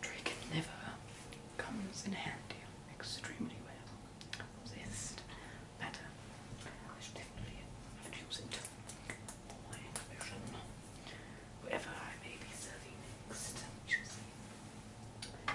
Drake never comes in handy extremely well. This pattern, I should definitely my exhibition. Wherever I may be serving next, we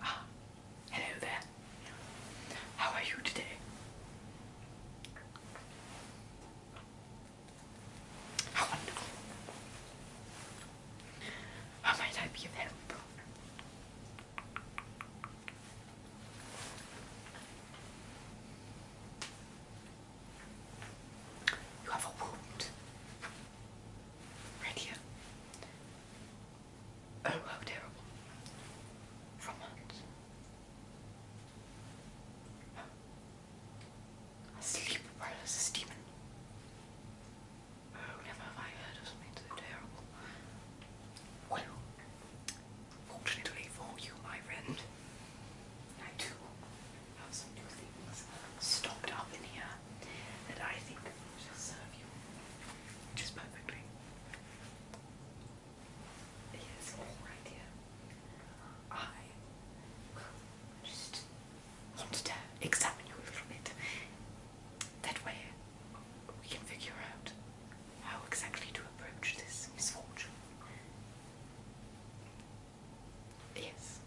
Ah, hello there. How are you today? How wonderful. How might I be of help? You have a wound. Right here. Oh, how terrible. From it. A sleep paralysis oh, never have I heard of something so terrible. Well, fortunately for you, my friend, I do have some new things stocked up in here that I think shall serve you just perfectly. Yes, all right here. I just wanted to examine you a little bit. That way we can figure out how exactly to approach this misfortune. Yes.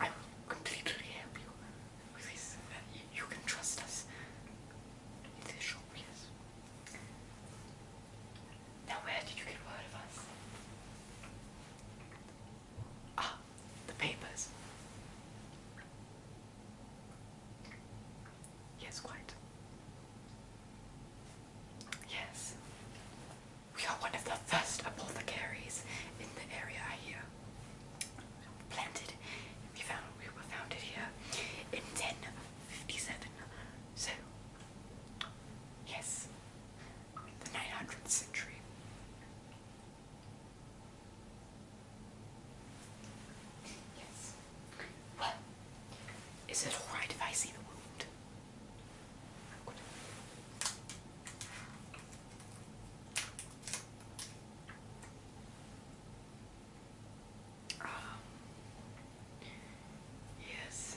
I will completely help you with this. Uh, you can trust us in this now where did you get word of us? Ah, the papers. Yes, quite. Yes. We are one of the first apothecaries in the area here. Planted, we we were founded here in 1057. So, yes, the 900th century. Yes. Well, is it alright if I see the wound? Good. Yes.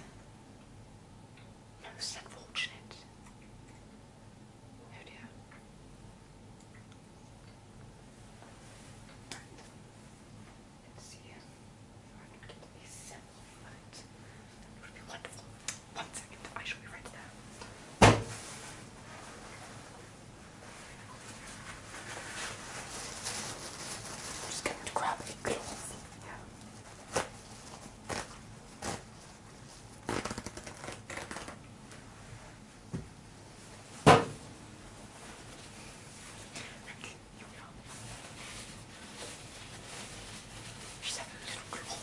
Most unfortunate. Oh dear. Let's see here. Right, we'll get this sample right. would be wonderful. One second, I shall be right there. I'm just going to grab a cloth. Yeah. She's having a little girl.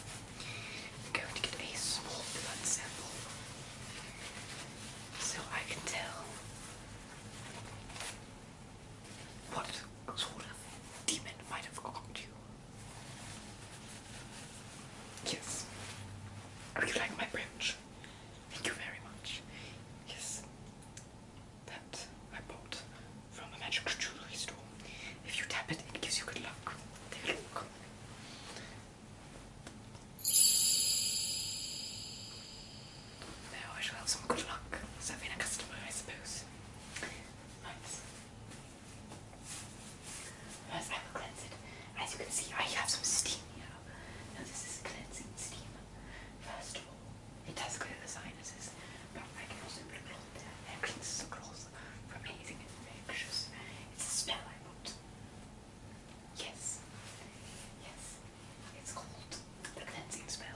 I'm going to get a small blood sample so I can tell what sort of demon might have conquered you? Yes. Are you like my branch? Thank you very much. Yes. That I bought from a magic jewelry store. If you tap it, it gives you good luck. There Though I shall have some good luck serving a customer, I suppose. Nice. First, cleanse it. As you can see, I have some steam here. Now, this is cleansing steam. First of all, it does clear the sinuses, but I can also put a cloth there and cleanse the cloth from anything infectious. It's a smell I want. Yes. Yes. It's called the cleansing spell.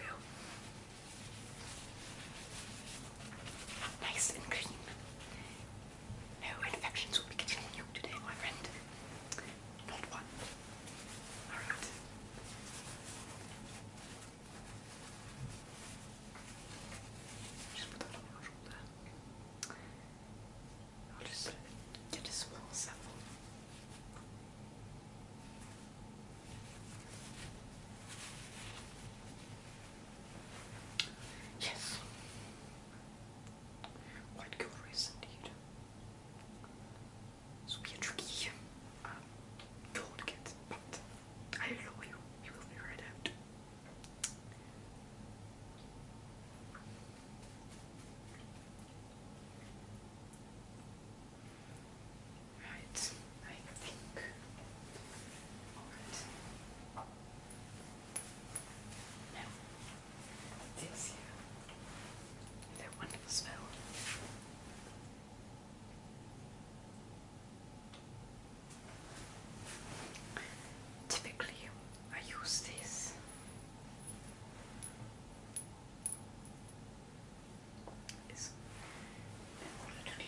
Real. Nice and clean. No infections will be getting continuing today, my friend. Not one. Alright. Just put that on your shoulder. I'll just get a small sample. Yes. Quite curious indeed. So be a tricky um, tool but I love you. You will figure it out. Right, I think. Alright. Now, this here, That wonderful smell. Typically, I use this is in order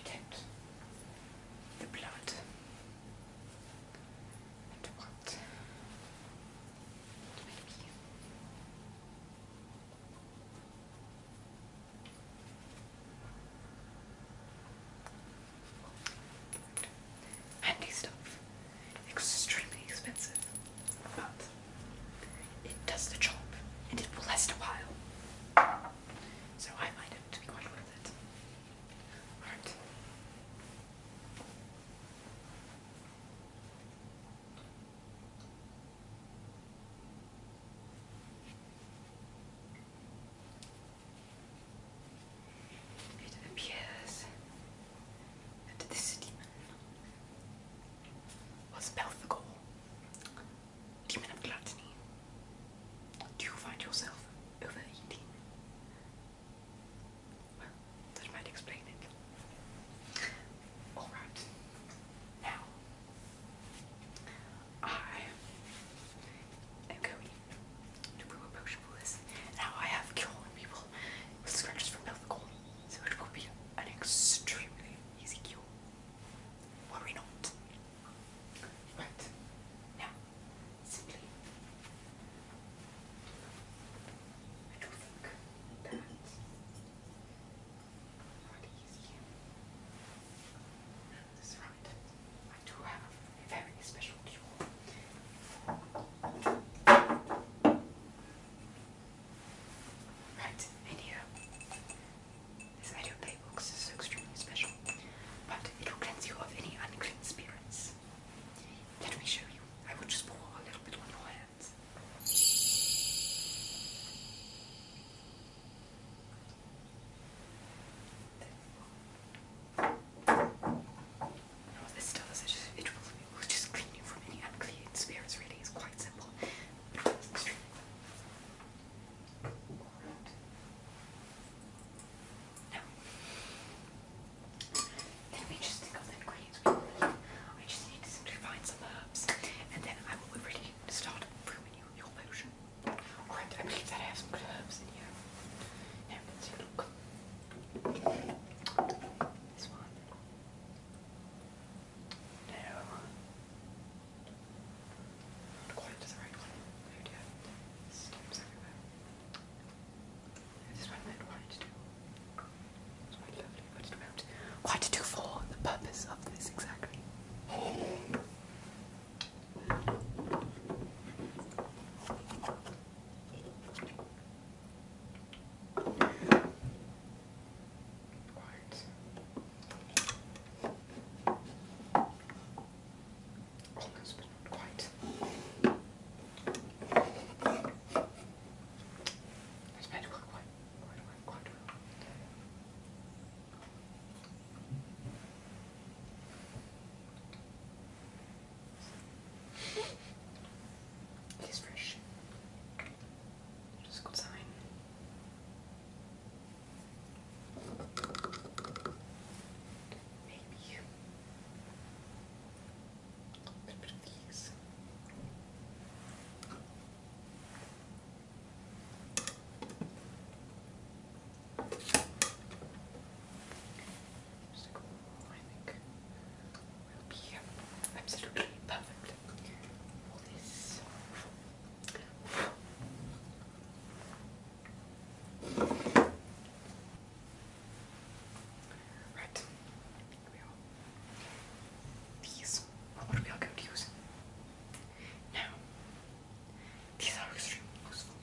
the blood Handy stuff. Extremely expensive. But it does the job and it will last a while. So I might have to be quite worth it. It appears that this demon was Belphegor, demon of gluttony. Do you find yourself overeating well, that might explain it. Alright. Now, I am going to brew a potion for this. Now, I have cured people with scratches from pelvic cold, so it will be an extremely easy cure. Worry not. Right. Now, sleep. I do think that not easy. That's right. I do have a very special cure. Right, in This Ido Play is extremely special, but it will cleanse you of any unclean spirits. Let me show you. I would just pour a little bit on your hands. Now this does is just, it will, it will just clean from any unclean spirits really. It's quite simple. No. Then we just think of I just need to simply find some herbs, and then I will be ready to start brewing you your potion. Right, I believe that I have some good herbs in here. Now let's see, look. This one. No. Not quite the right one. Oh dear. Steps everywhere what I meant do. quite lovely. What did we do? for the purpose of this exactly? Right. Almost, but not quite. It's made to work quite, quite, quite, It is fresh. It's a good sign. Maybe a Just like one I think will be absolutely perfect. All this. Right. We These what are we all going to use? Now, these are extremely useful.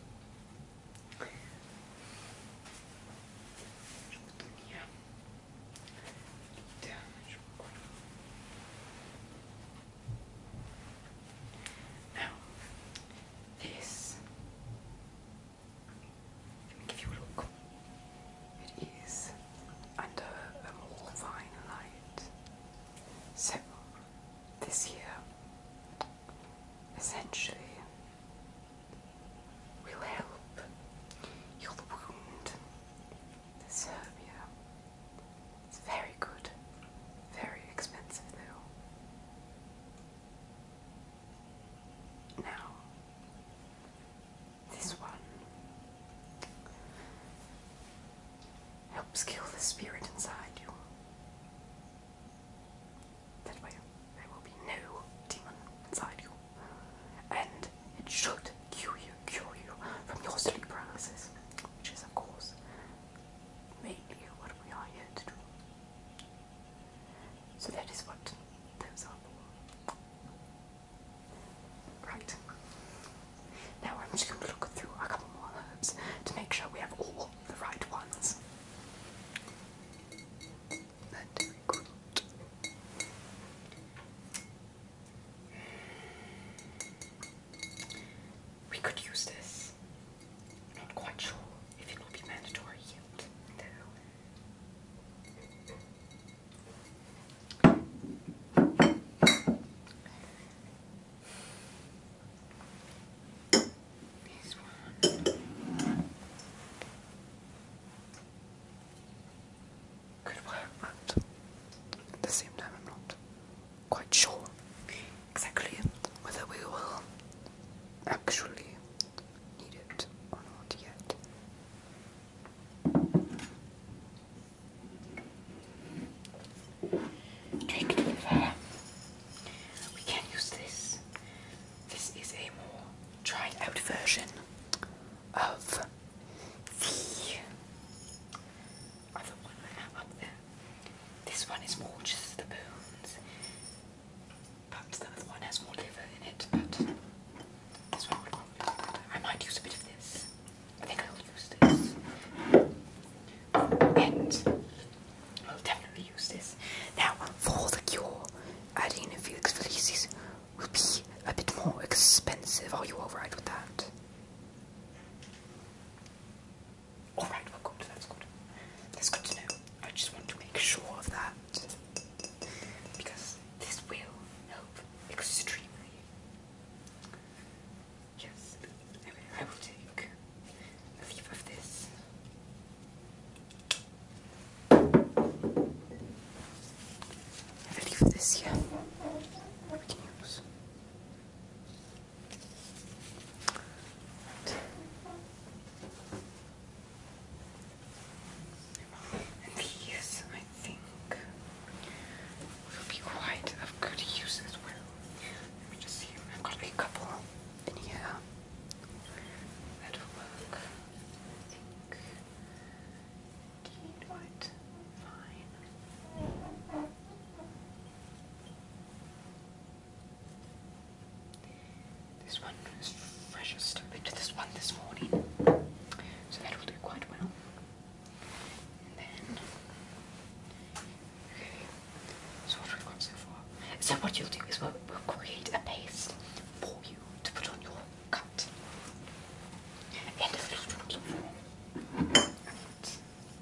now, this. Let me give you a look. It is under a more fine light. So, this here essentially will help heal wound, the Serbia. It's very good, very expensive though. Now, this one helps kill the spirit inside you. That way, there will be no demon inside you, and it should cure you, cure you from your sleep paralysis, which is, of course, mainly what we are here to do. So that is what those are Right. Now I'm just going to look through a couple more herbs to make sure we have all the right ones. We could use this. not quite sure if it will be mandatory yet, This one could work, but the same time, I'm not quite sure exactly whether we will actually need it or not yet. Trick We can use this. This is a tried out version of the other one I have up there. This one is more just the bones, but the one has more liver in it. But this one I might use a bit of this. I think I will use this. And I'll definitely use this. Now, for the cure, adding a Felix felices will be a bit more expensive. Are you alright with that? Alright, well good, that's good. That's good to know. I just want to make sure of that. Because this will help extremely. Yes. I will take leave of this. And of this here. We can and these, I think, will be quite of good use as well. Let me just see. I've got a couple in That'll work. think. white. Fine. This one is fresh as this one this morning. So that will do quite well. And then okay, so what we've got so far. So what you'll do is we'll, create a paste for you to put on your cut. And of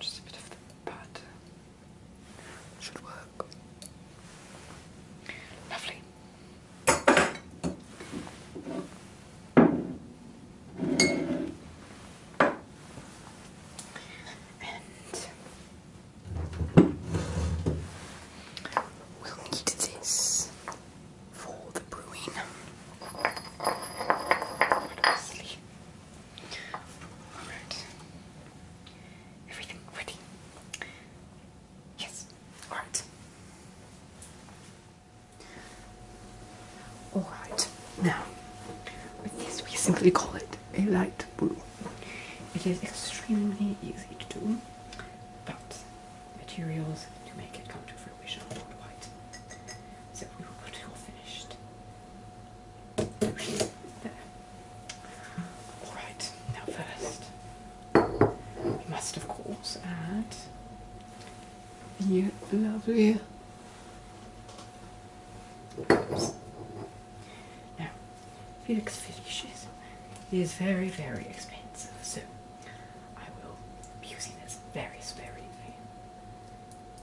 Just a bit of the pad. Should work. Lovely. And we'll need this for the brewing. Alright. Everything ready? Yes. Alright. Alright. Now, with this we simply call it a light brew. It is extremely easy to do, but materials to make it come to we should have worked white. So we are pretty well finished. There. Alright, now first, we must of course add the lovely Now, Felix Felicis is very, very expensive, so I will be using this very sparingly.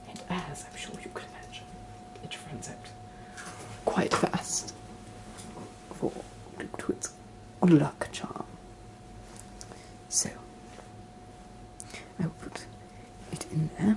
And as I'm sure you can imagine, it runs out quite fast for to its good luck charm. So I will put it in there.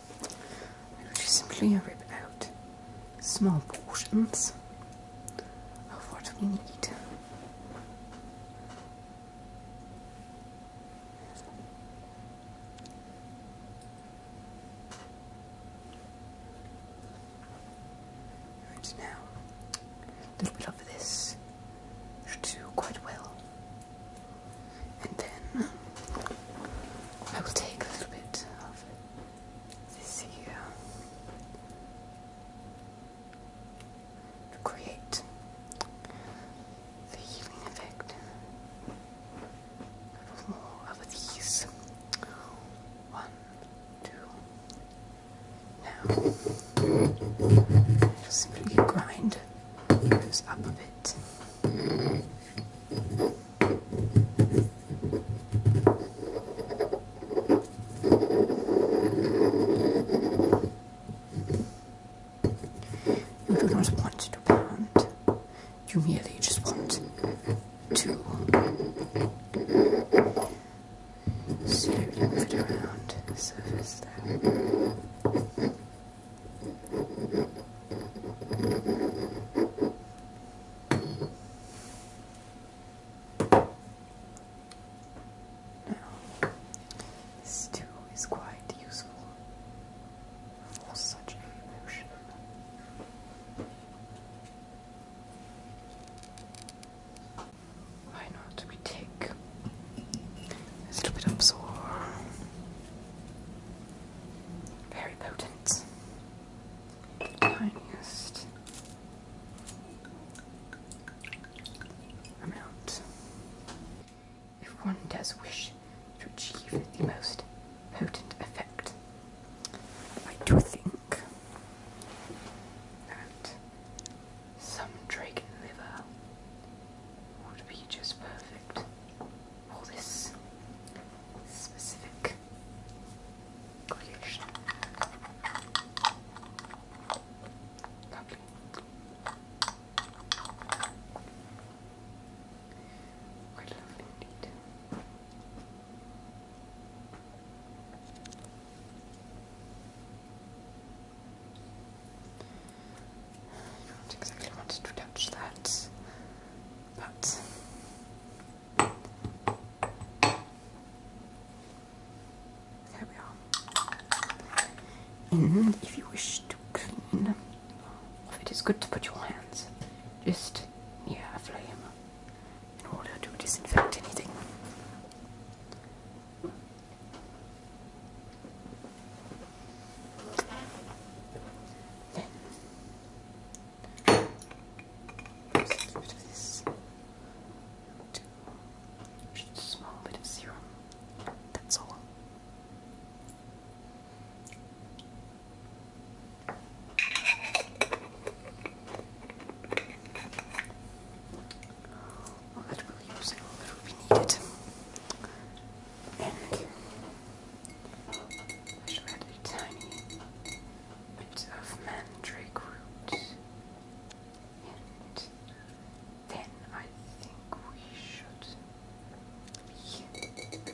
I will just simply rip out small portions of what we need. And now, a little bit of this should do quite well and then I will take a little bit of this here to create the healing effect of more of these. One, two. Now, i grind those up a bit. You do not want to pound. You merely just want to slowly move it around the surface there. Now, this too is quite useful for such a Why not we take a little bit of absorb very potent. Tiniest amount. If one does wish to achieve the most potent effect, I do think that some dragon liver would be just perfect all this specific creation. Lovely. Quite lovely I don't exactly want to touch that. But there we are. And mm-hmm. if you wish to clean, it is good to put your hands just near a flame in order to disinfect anything. Just a bit of this. Just a small bit of serum. That's all. All that we use and all that will needed. And which had a tiny bit of mandrake root. And then I think we should be.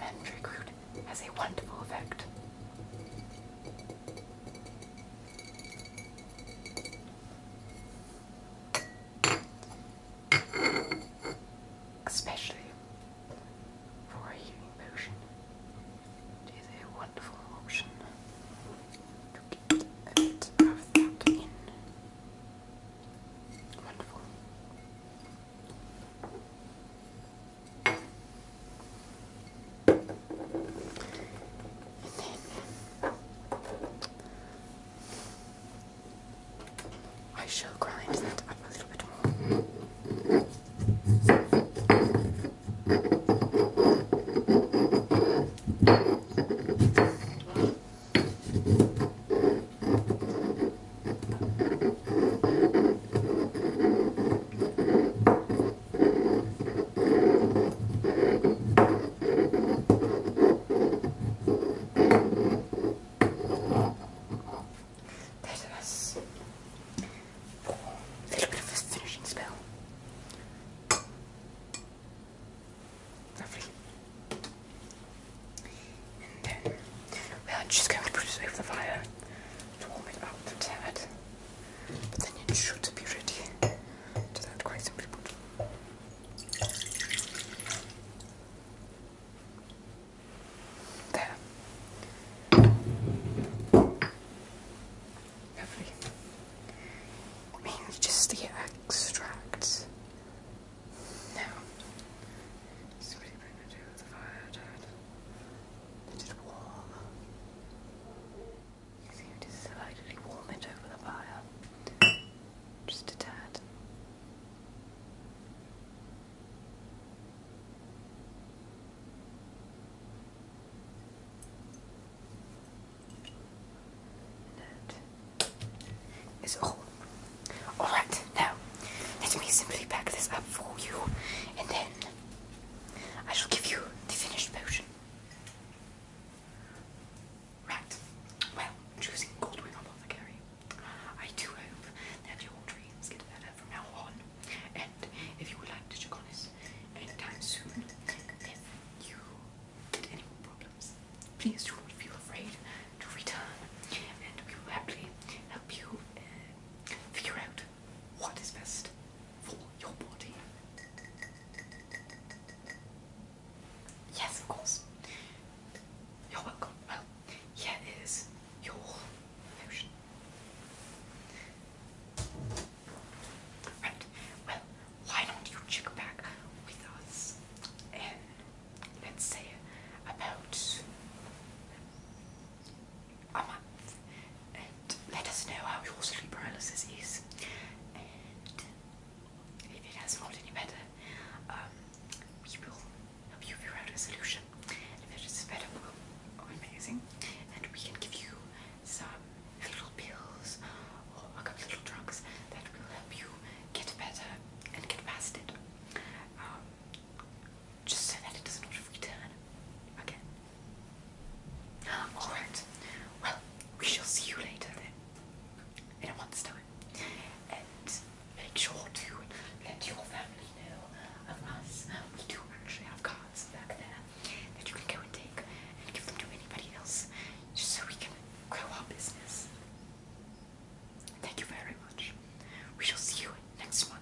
mandrake root has a wonderful effect especially for a human potion. It is a wonderful option to get a bit of that in. Wonderful. I shall grind that up a little bit more. There's a little bit of a finishing spell. Lovely. And then we are just going to put it over the fire to warm it up a tad. But then it should be ready. To that quite there. Lovely. Mainly just the extract. Now, so what are you the fire, Dad? it warm. You seem to slightly warm it over the fire. Just a tad. That is all. Alright, now let me simply pack this up for you and then I shall give you the finished potion. Right. Well, choosing Goldwing Apothecary. I do hope that your dreams get better from now on. And if you would like to check on us anytime soon, if you get any more problems, please do not feel afraid to return. And we will happily help you uh, figure out what is best for your body. Yes, of course. You're welcome. Well, here is your potion. Right. Well, why don't you check back with us in, um, let's say, about a month and let us know how your sleep paralysis is and if it has not any better um, we will help you figure out a solution. And if it is better, we amazing. And we can give you some little pills or a couple little drugs that will help you get better and get past it. Um, just so that it does not return again. Alright, well, we shall see you later then, in a month's and make sure to let your family know of us. We do actually have cards back there that you can go and take and give them to anybody else just so we can grow our business. Thank you very much. We shall see you next month.